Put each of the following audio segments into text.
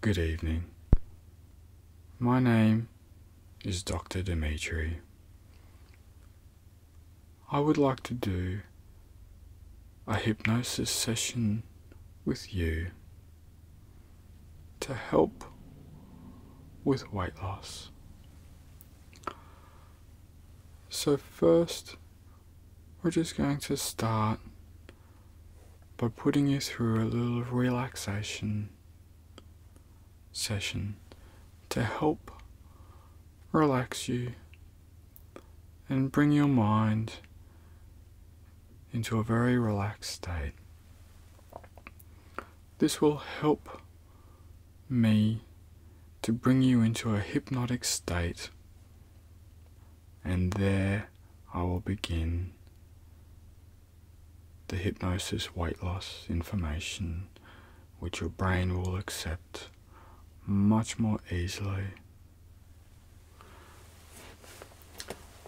Good evening. My name is Dr. Dimitri. I would like to do a hypnosis session with you to help with weight loss. So first, we're just going to start by putting you through a little relaxation session to help relax you and bring your mind into a very relaxed state. This will help me to bring you into a hypnotic state and there I will begin the hypnosis weight loss information which your brain will accept much more easily.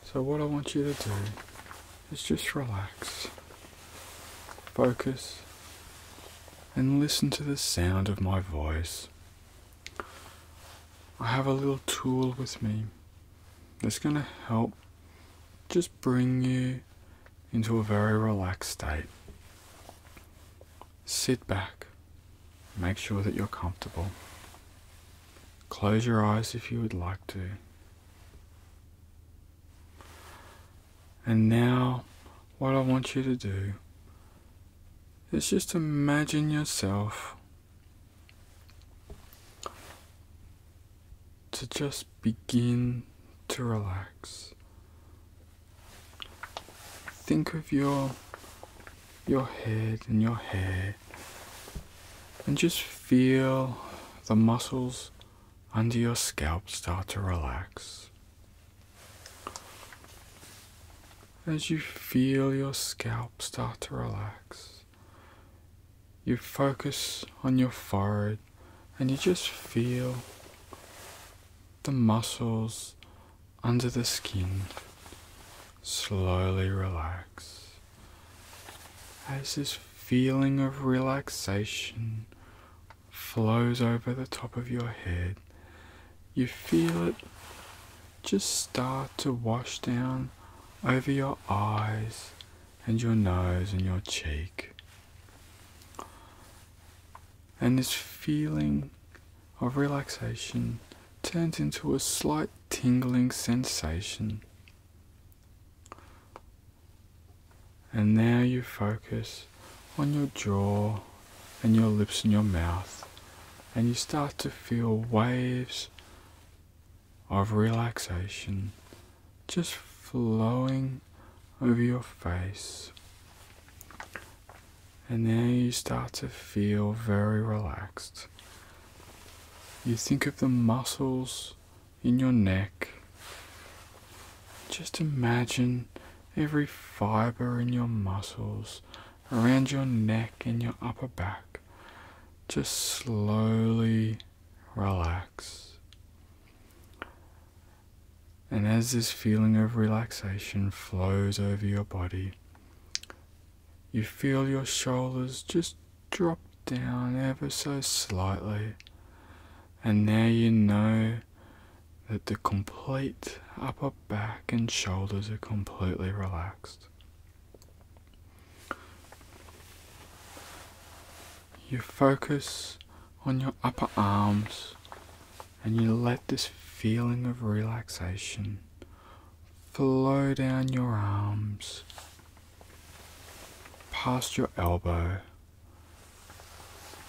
So, what I want you to do is just relax, focus, and listen to the sound of my voice. I have a little tool with me that's going to help just bring you into a very relaxed state. Sit back, make sure that you're comfortable. Close your eyes if you would like to. And now, what I want you to do is just imagine yourself to just begin to relax. Think of your your head and your hair and just feel the muscles under your scalp start to relax. As you feel your scalp start to relax, you focus on your forehead and you just feel the muscles under the skin slowly relax as this feeling of relaxation flows over the top of your head. You feel it just start to wash down over your eyes and your nose and your cheek. And this feeling of relaxation turns into a slight tingling sensation. And now you focus on your jaw and your lips and your mouth, and you start to feel waves of relaxation just flowing over your face. And then you start to feel very relaxed. You think of the muscles in your neck. Just imagine every fiber in your muscles around your neck and your upper back. Just slowly relax. And as this feeling of relaxation flows over your body, you feel your shoulders just drop down ever so slightly. And now you know that the complete upper back and shoulders are completely relaxed. You focus on your upper arms and you let this feeling of relaxation flow down your arms, past your elbow,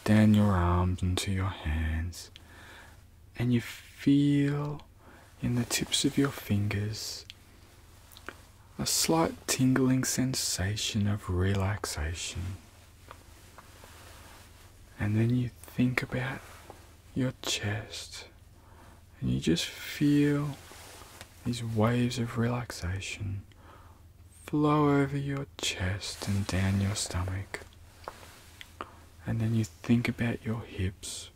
down your arms into your hands, and you feel in the tips of your fingers a slight tingling sensation of relaxation. And then you think about your chest and you just feel these waves of relaxation flow over your chest and down your stomach and then you think about your hips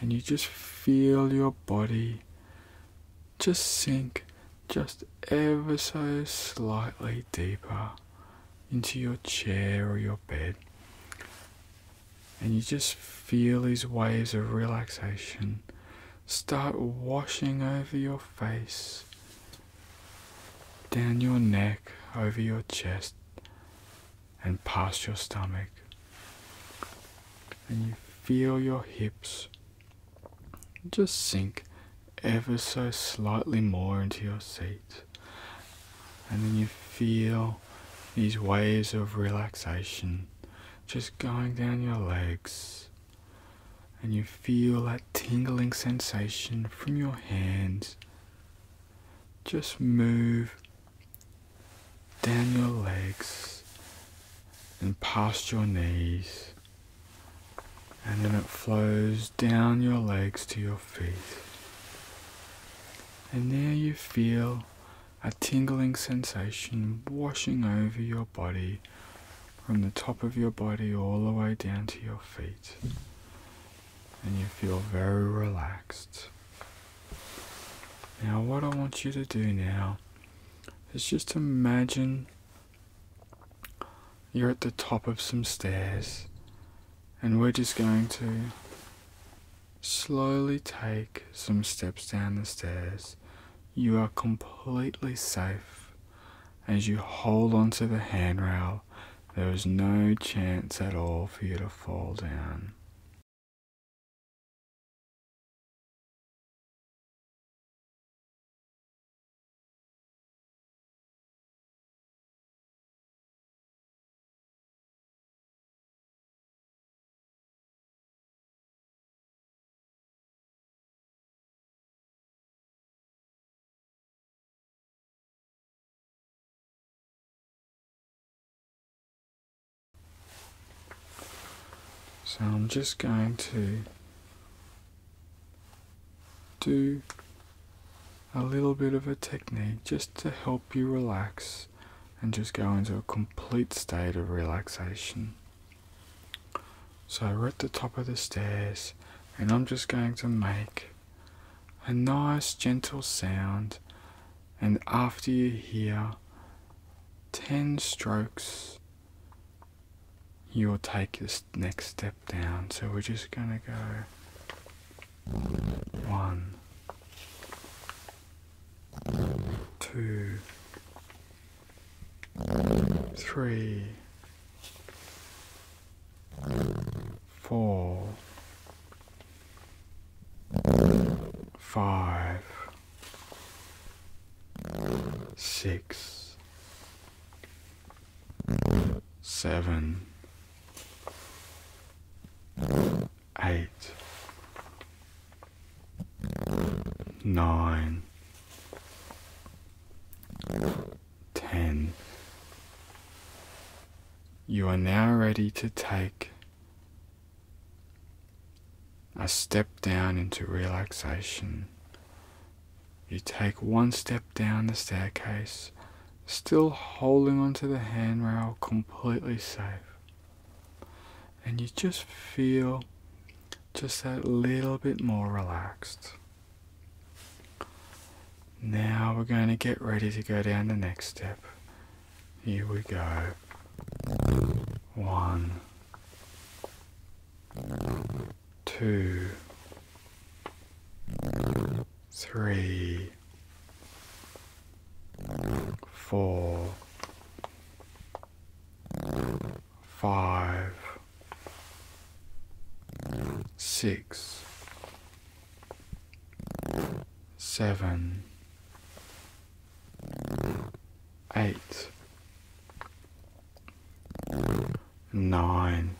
and you just feel your body just sink just ever so slightly deeper into your chair or your bed and you just feel these waves of relaxation start washing over your face down your neck over your chest and past your stomach. And you feel your hips just sink ever so slightly more into your seat. And then you feel these waves of relaxation just going down your legs. And you feel that tingling sensation from your hands just move down your legs and past your knees, and then it flows down your legs to your feet. And there you feel a tingling sensation washing over your body from the top of your body all the way down to your feet and you feel very relaxed. Now, what I want you to do now is just imagine you're at the top of some stairs, and we're just going to slowly take some steps down the stairs. You are completely safe as you hold onto the handrail there is no chance at all for you to fall down. So I'm just going to do a little bit of a technique just to help you relax and just go into a complete state of relaxation. So we're at the top of the stairs and I'm just going to make a nice gentle sound, and after you hear 10 strokes, you'll take this next step down. So we're just going to go one, two, three four, five, six, seven, eight, nine. 10. You are now ready to take a step down into relaxation. You take one step down the staircase, still holding onto the handrail completely safe. And you just feel just that little bit more relaxed. Now we're going to get ready to go down the next step. Here we go. One, two, three, four, five, six, seven, eight, nine.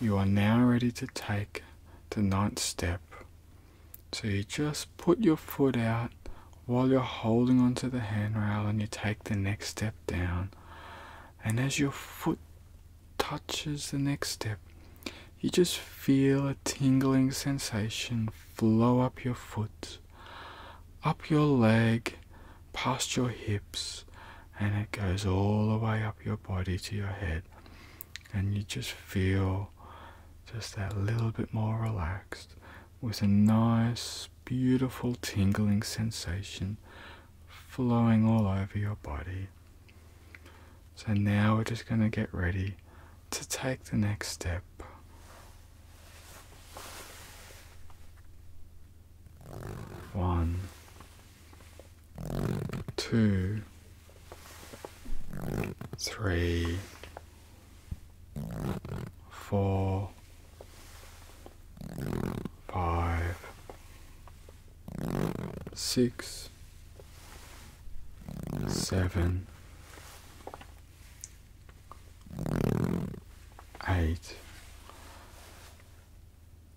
You are now ready to take the ninth step. So you just put your foot out while you're holding onto the handrail and you take the next step down. And as your foot touches the next step, you just feel a tingling sensation flow up your foot, up your leg, past your hips, and it goes all the way up your body to your head. And you just feel just that little bit more relaxed with a nice, beautiful tingling sensation flowing all over your body. So now we're just going to get ready to take the next step. One, two, three, four, five, six, seven, eight.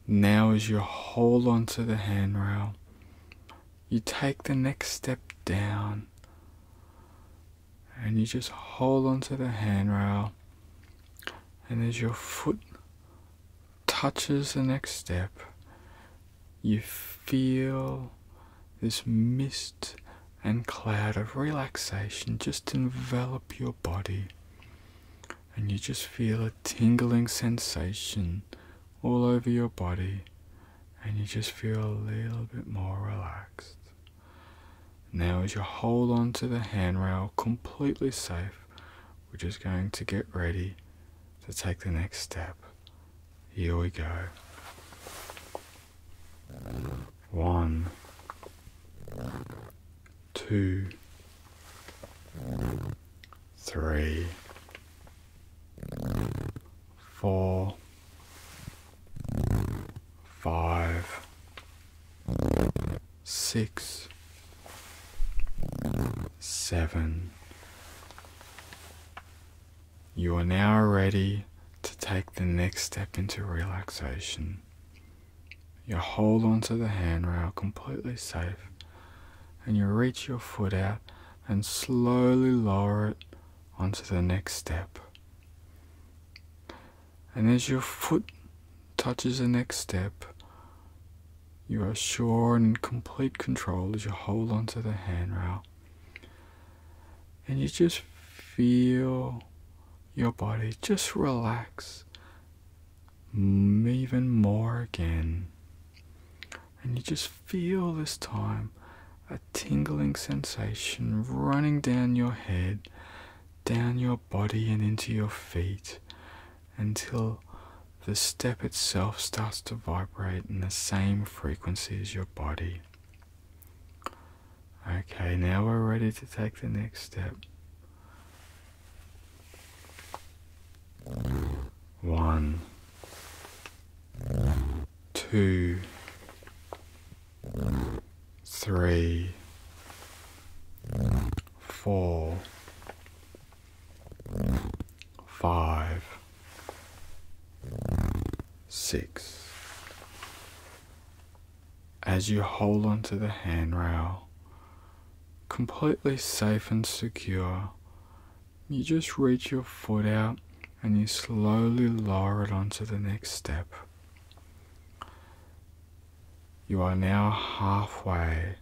Now, as you hold onto the handrail, you take the next step down and you just hold onto the handrail. And as your foot touches the next step, you feel this mist and cloud of relaxation just envelop your body, and you just feel a tingling sensation all over your body, and you just feel a little bit more relaxed. Now, as you hold on to the handrail completely safe, we're just going to get ready to take the next step. Here we go. One, two, three, four, five, six, seven. You are now ready to take the next step into relaxation. You hold onto the handrail completely safe and you reach your foot out and slowly lower it onto the next step. And as your foot touches the next step, you are sure and in complete control as you hold onto the handrail. And you just feel your body just relax even more again. And you just feel this time a tingling sensation running down your head, down your body, and into your feet until the step itself starts to vibrate in the same frequency as your body. Okay, now we're ready to take the next step. One, two, three, four five, six. As you hold onto the handrail, completely safe and secure, you just reach your foot out and you slowly lower it onto the next step. You are now halfway,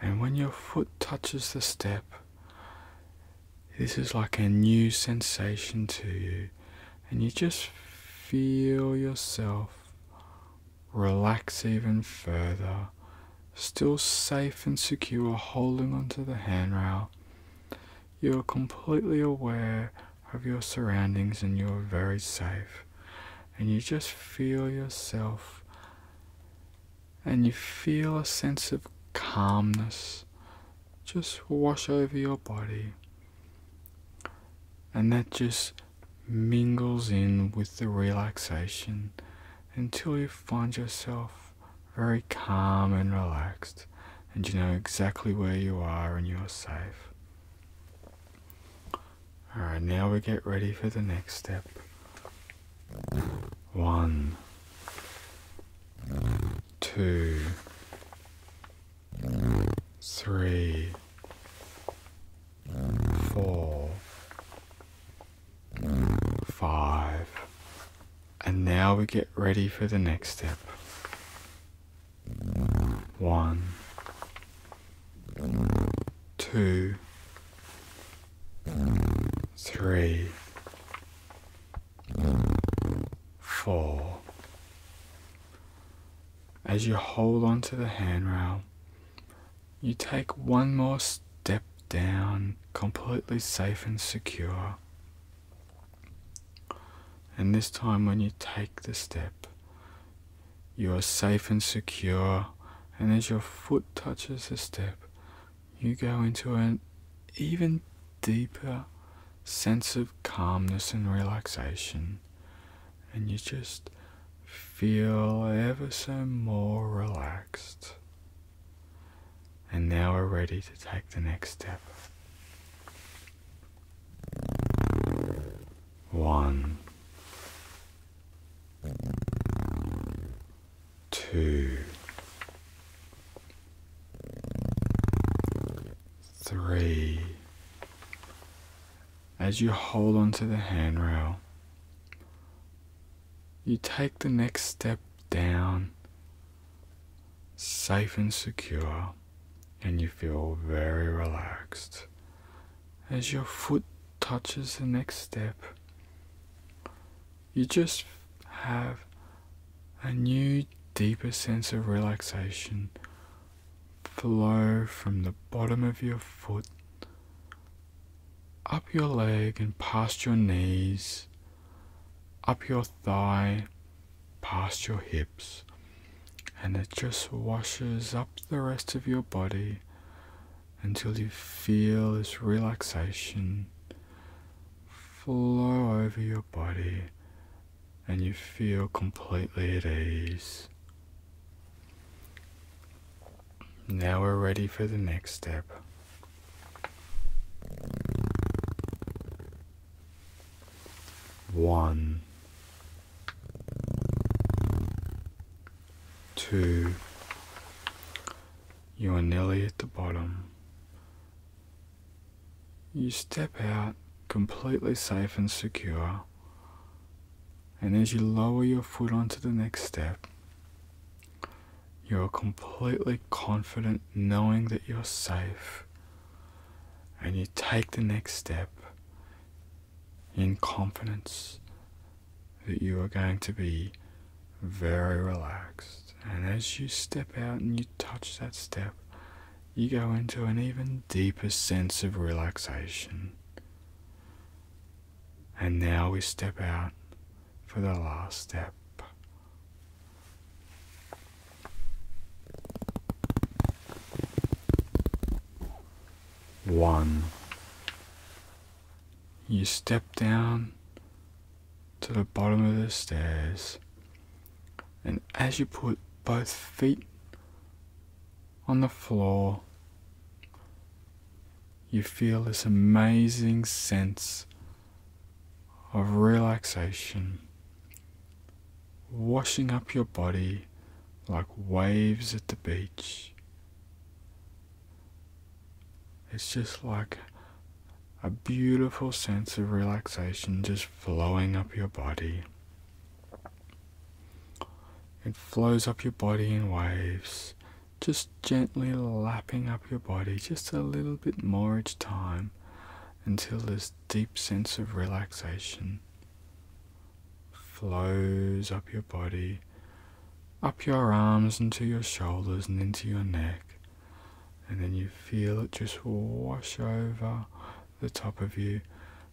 and when your foot touches the step, this is like a new sensation to you, and you just feel yourself relax even further, still safe and secure, holding onto the handrail. You're completely aware of your surroundings and you're very safe and you just feel yourself and you feel a sense of calmness just wash over your body and that just mingles in with the relaxation until you find yourself very calm and relaxed and you know exactly where you are and you're safe Alright, now we get ready for the next step. One, two, three, four, five. And now we get ready for the next step. One, two, three, four. As you hold onto the handrail, you take one more step down, completely safe and secure. And this time, when you take the step, you are safe and secure, and as your foot touches the step, you go into an even deeper sense of calmness and relaxation, and you just feel ever so more relaxed. And now we're ready to take the next step. One, two, three. As you hold onto the handrail, you take the next step down, safe and secure, and you feel very relaxed as your foot touches the next step, you just have a new, deeper sense of relaxation flow from the bottom of your foot up your leg and past your knees, up your thigh, past your hips, and it just washes up the rest of your body until you feel this relaxation flow over your body and you feel completely at ease. Now we're ready for the next step. One two, you are nearly at the bottom. You step out completely safe and secure, and as you lower your foot onto the next step, you're completely confident knowing that you're safe, and you take the next step in confidence that you are going to be very relaxed. And as you step out and you touch that step, you go into an even deeper sense of relaxation. And now we step out for the last step one. You step down to the bottom of the stairs, and as you put both feet on the floor, you feel this amazing sense of relaxation washing up your body like waves at the beach. It's just like a beautiful sense of relaxation just flowing up your body. It flows up your body in waves, just gently lapping up your body just a little bit more each time until this deep sense of relaxation flows up your body, up your arms into your shoulders and into your neck. And then you feel it just wash over the top of you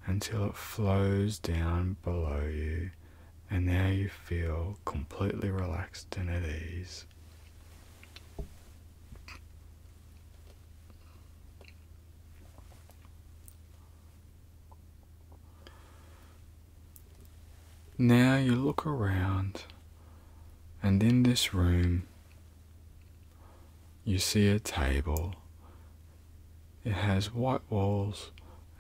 until it flows down below you. And now you feel completely relaxed and at ease. Now you look around, and in this room, you see a table. It has white walls,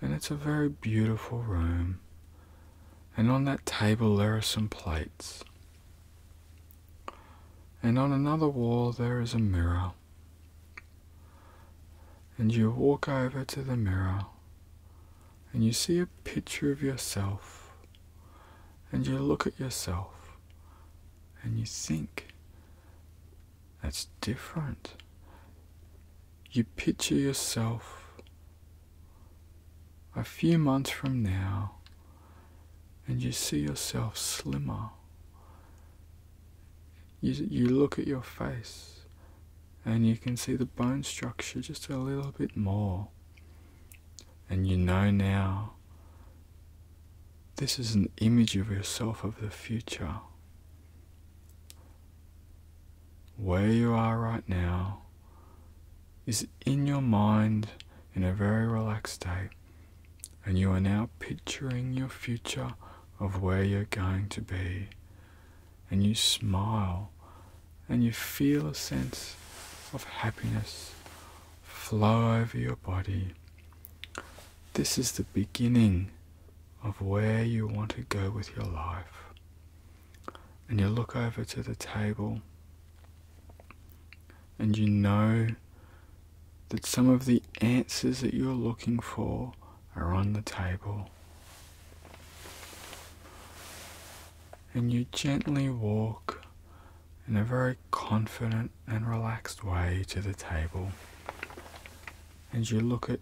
and it's a very beautiful room. And on that table, there are some plates. And on another wall, there is a mirror. And you walk over to the mirror and you see a picture of yourself and you look at yourself and you think that's different. You picture yourself a few months from now and you see yourself slimmer you, look at your face and you can see the bone structure just a little bit more. And you know now this is an image of yourself of the future. Where you are right now is in your mind in a very relaxed state and you are now picturing your future of where you're going to be, and you smile and you feel a sense of happiness flow over your body. This is the beginning of where you want to go with your life. And you look over to the table and you know that some of the answers that you're looking for are on the table. And you gently walk in a very confident and relaxed way to the table. And you look at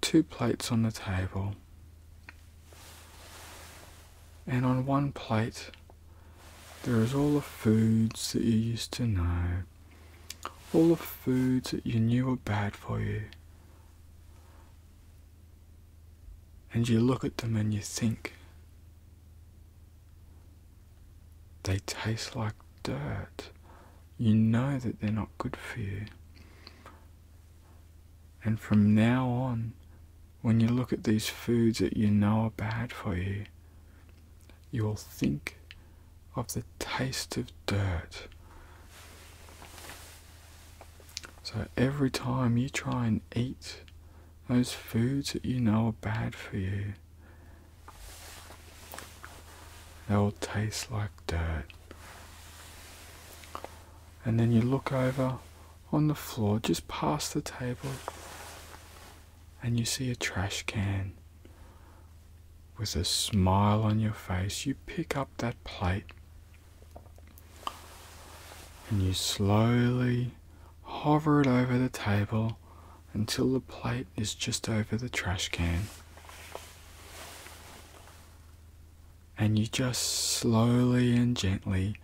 two plates on the table. And on one plate, there is all the foods that you used to know all the foods that you knew were bad for you. And you look at them and you think they taste like dirt. You know that they're not good for you. And from now on, when you look at these foods that you know are bad for you, you will think of the taste of dirt. So every time you try and eat those foods that you know are bad for you, they will taste like dirt. And then you look over on the floor just past the table and you see a trash can, with a smile on your face, you pick up that plate and you slowly hover it over the table until the plate is just over the trash can. And you just slowly and gently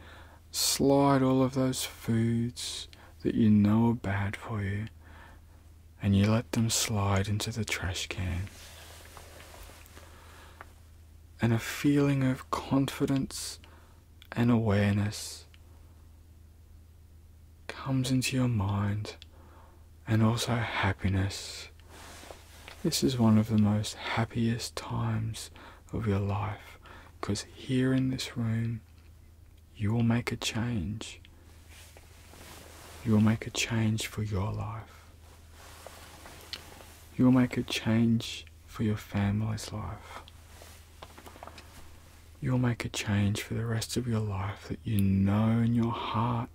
slide all of those foods that you know are bad for you and you let them slide into the trash can. And a feeling of confidence and awareness comes into your mind, and also happiness. This is one of the most happiest times of your life because here in this room you will make a change. You will make a change for your life. You will make a change for your family's life. You will make a change for the rest of your life that you know in your heart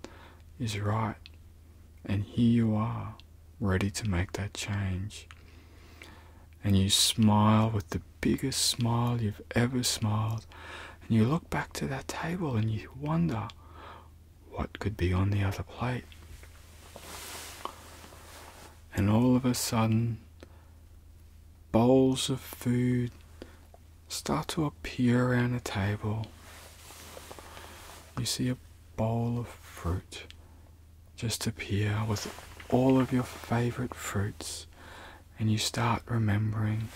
is right. And here you are, ready to make that change. And you smile with the biggest smile you've ever smiled, and you look back to that table and you wonder what could be on the other plate. And all of a sudden, bowls of food start to appear around the table. You see a bowl of fruit just appear with all of your favorite fruits and you start remembering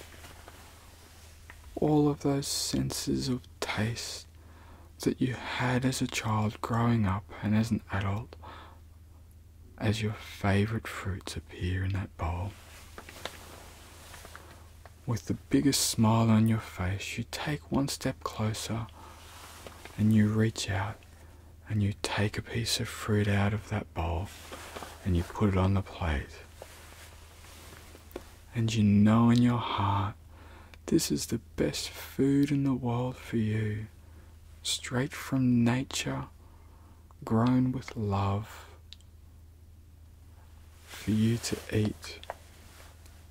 all of those senses of taste that you had as a child growing up and as an adult as your favourite fruits appear in that bowl. With the biggest smile on your face, you take one step closer and you reach out and you take a piece of fruit out of that bowl and you put it on the plate. And you know in your heart this is the best food in the world for you, straight from nature, grown with love, for you to eat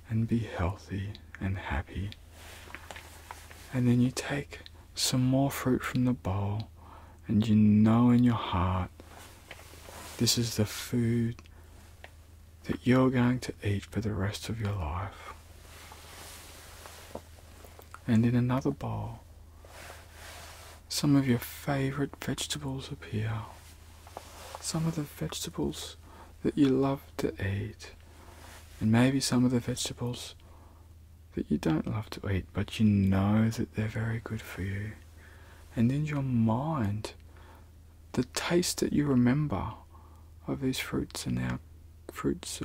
and be healthy and happy. And then you take some more fruit from the bowl, and you know in your heart this is the food that you're going to eat for the rest of your life. And in another bowl, some of your favourite vegetables appear. Some of the vegetables that you love to eat, and maybe some of the vegetables that you don't love to eat, but you know that they're very good for you. And in your mind, the taste that you remember of these fruits and now fruits,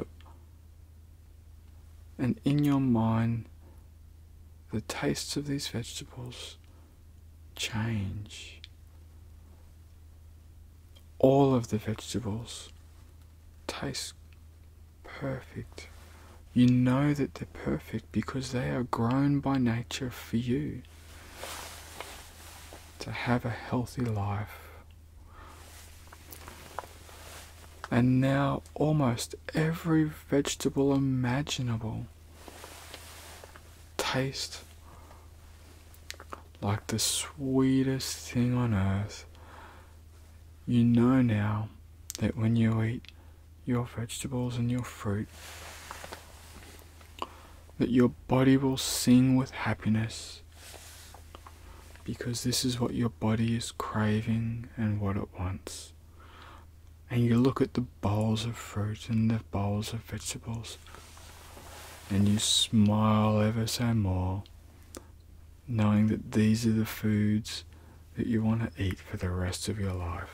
And in your mind, the tastes of these vegetables change. All of the vegetables taste perfect. You know that they're perfect because they are grown by nature for you to have a healthy life. And now almost every vegetable imaginable tastes like the sweetest thing on earth you know now that when you eat your vegetables and your fruit, that your body will sing with happiness because this is what your body is craving and what it wants. And you look at the bowls of fruit and the bowls of vegetables, and you smile ever so more knowing that these are the foods that you want to eat for the rest of your life.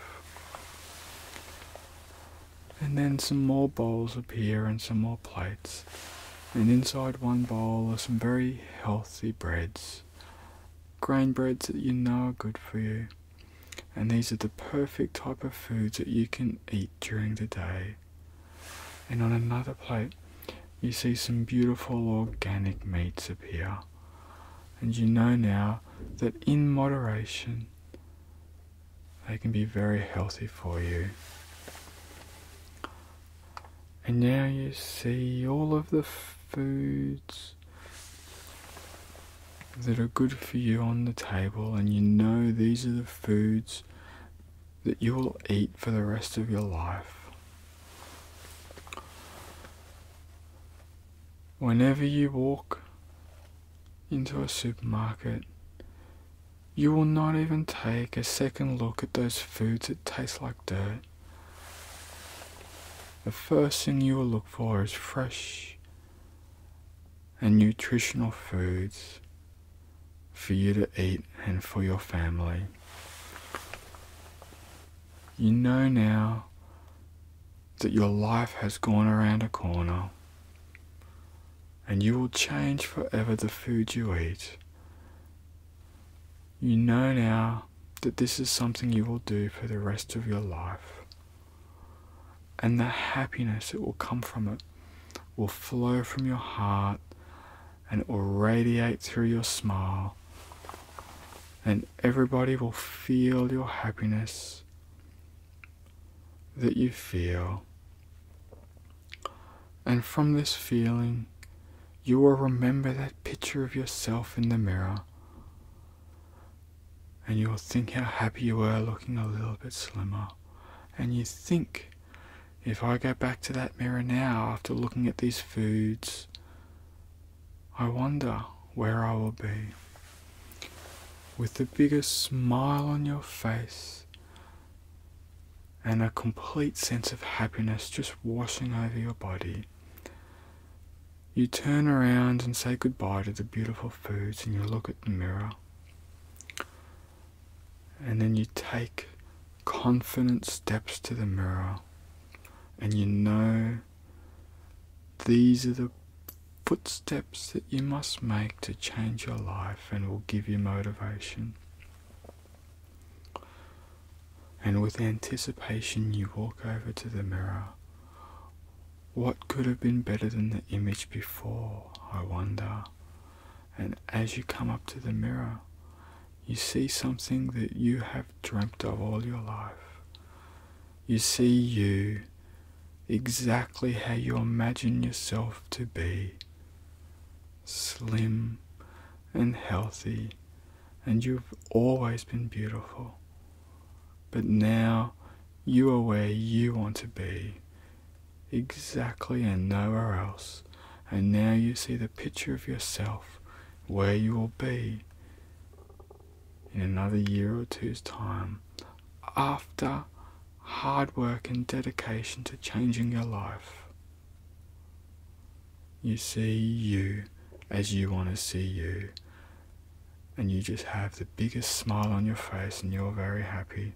And then some more bowls appear and some more plates. And inside one bowl are some very healthy breads. Grain breads that you know are good for you. And these are the perfect type of foods that you can eat during the day. And on another plate you see some beautiful organic meats appear, and you know now that in moderation they can be very healthy for you. And now you see all of the foods that are good for you on the table, and you know these are the foods that you will eat for the rest of your life. Whenever you walk into a supermarket, you will not even take a second look at those foods that taste like dirt. The first thing you will look for is fresh and nutritional foods for you to eat and for your family. You know now that your life has gone around a corner and you will change forever the food you eat. You know now that this is something you will do for the rest of your life, and the happiness that will come from it will flow from your heart and it will radiate through your smile. And everybody will feel your happiness that you feel. And from this feeling, you will remember that picture of yourself in the mirror. And you will think how happy you were looking a little bit slimmer. And you think, if I go back to that mirror now after looking at these foods I wonder where I will be. With the biggest smile on your face and a complete sense of happiness just washing over your body, you turn around and say goodbye to the beautiful foods, and you look at the mirror. And then you take confident steps to the mirror, and you know these are the footsteps that you must make to change your life and will give you motivation. And with anticipation, you walk over to the mirror. What could have been better than the image before, I wonder? And as you come up to the mirror, you see something that you have dreamt of all your life. You see you exactly how you imagine yourself to be slim and healthy, and you've always been beautiful. But now you are where you want to be, exactly and nowhere else, and now you see the picture of yourself where you will be in another year or two's time after hard work and dedication to changing your life. You see you as you want to see you, and you just have the biggest smile on your face, and you're very happy.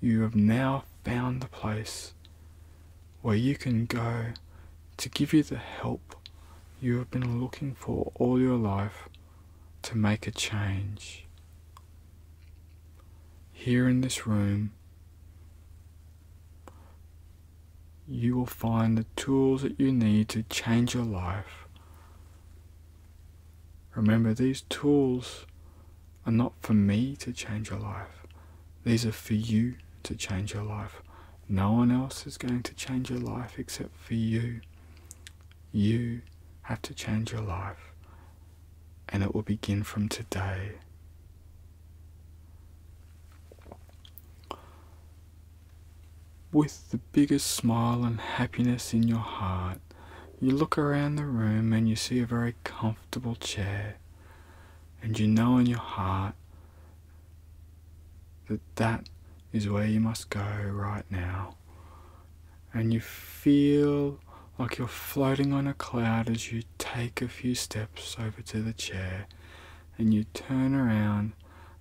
You have now found the place where you can go to give you the help you have been looking for all your life to make a change. Here in this room, you will find the tools that you need to change your life. Remember, these tools are not for me to change your life, these are for you to change your life. No one else is going to change your life except for you. You have to change your life, and it will begin from today. With the biggest smile and happiness in your heart, you look around the room and you see a very comfortable chair and you know in your heart that that is where you must go right now, and you feel like you're floating on a cloud as you take a few steps over to the chair and you turn around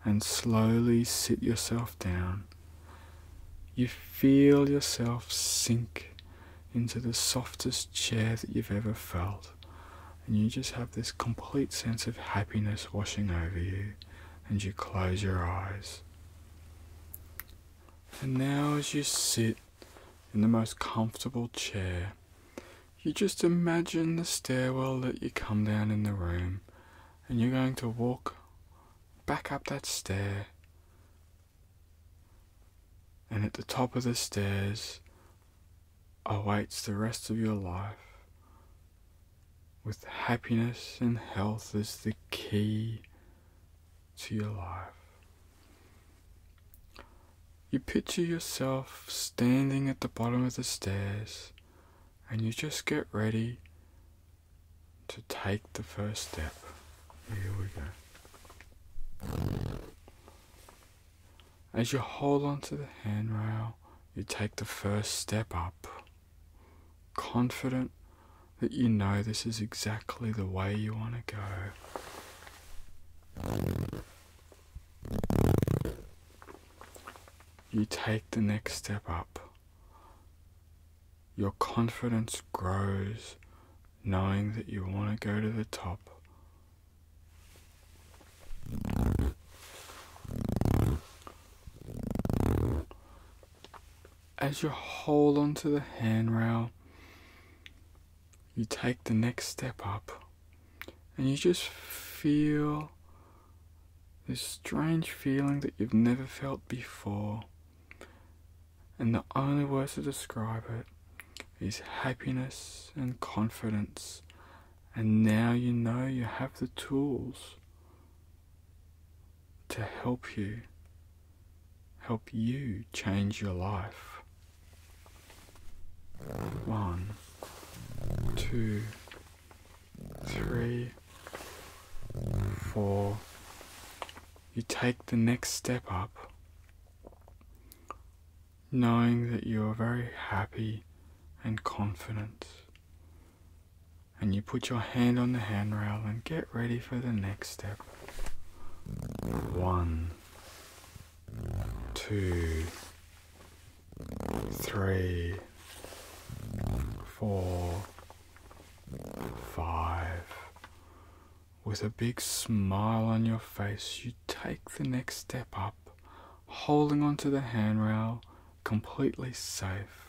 and slowly sit yourself down. You feel yourself sink into the softest chair that you've ever felt and you just have this complete sense of happiness washing over you, and you close your eyes. And now, as you sit in the most comfortable chair, you just imagine the stairwell that you come down in the room, and you're going to walk back up that stair. And at the top of the stairs, awaits the rest of your life with happiness and health as the key to your life. You picture yourself standing at the bottom of the stairs and you just get ready to take the first step. Here we go. As you hold onto the handrail, you take the first step up, confident that you know this is exactly the way you want to go. You take the next step up. Your confidence grows knowing that you want to go to the top. As you hold onto the handrail, you take the next step up and you just feel this strange feeling that you've never felt before. And the only words to describe it is happiness and confidence. And now you know you have the tools to help you, help you change your life. One, two, three, four. You take the next step up knowing that you are very happy and confident. And you put your hand on the handrail and get ready for the next step. One, two, three, four, five, with a big smile on your face, you take the next step up, holding onto the handrail, completely safe.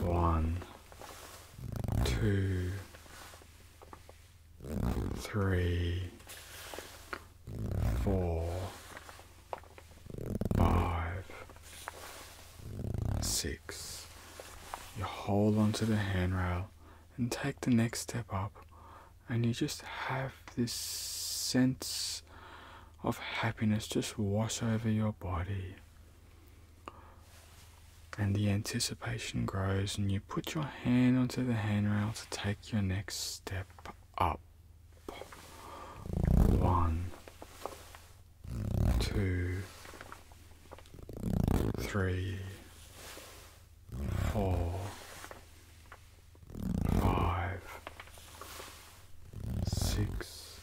One, two, three, four, five, Six. You hold onto the handrail and take the next step up, and you just have this sense of happiness just wash over your body. And the anticipation grows, and you put your hand onto the handrail to take your next step up. One, two, three, four, five, six,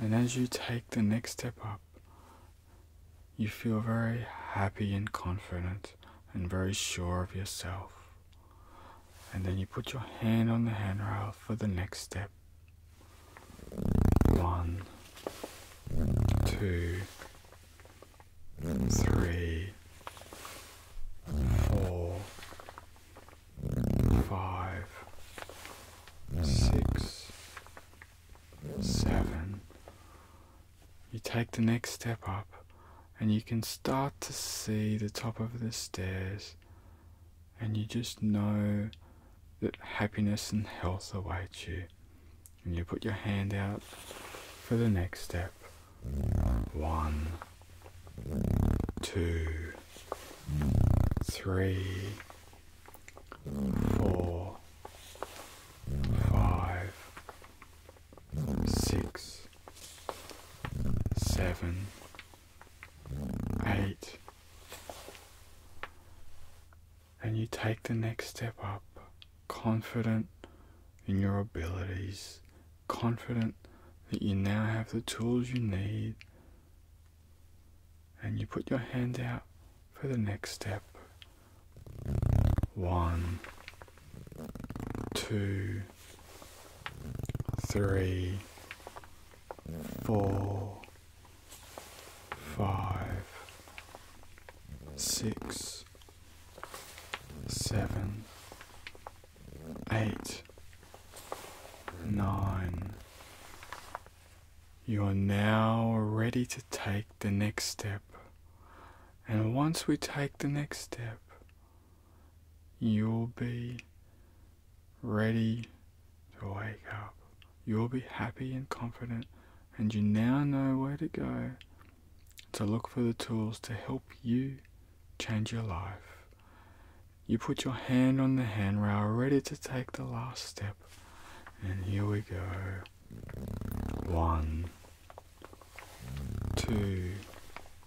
and as you take the next step up, you feel very happy and confident and very sure of yourself and then you put your hand on the handrail for the next step. One, two, three, four, five, six, seven. You take the next step up and you can start to see the top of the stairs, and you just know that happiness and health await you. And you put your hand out for the next step. One, two, three, four, five, six seven, eight, and you take the next step up, confident in your abilities, confident that you now have the tools you need, and you put your hand out for the next step. One, two, three, four, five, six, seven, eight, nine. You are now ready to take the next step. And once we take the next step, you'll be ready to wake up. You'll be happy and confident, and you now know where to go to look for the tools to help you change your life. You put your hand on the handrail, ready to take the last step. And here we go. One, two,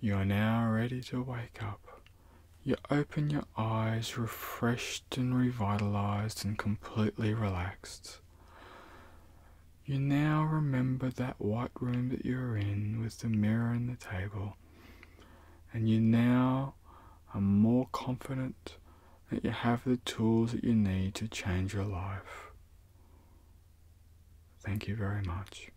you are now ready to wake up. You open your eyes refreshed and revitalized and completely relaxed. You now remember that white room that you were in with the mirror and the table, and you now are more confident that you have the tools that you need to change your life. Thank you very much.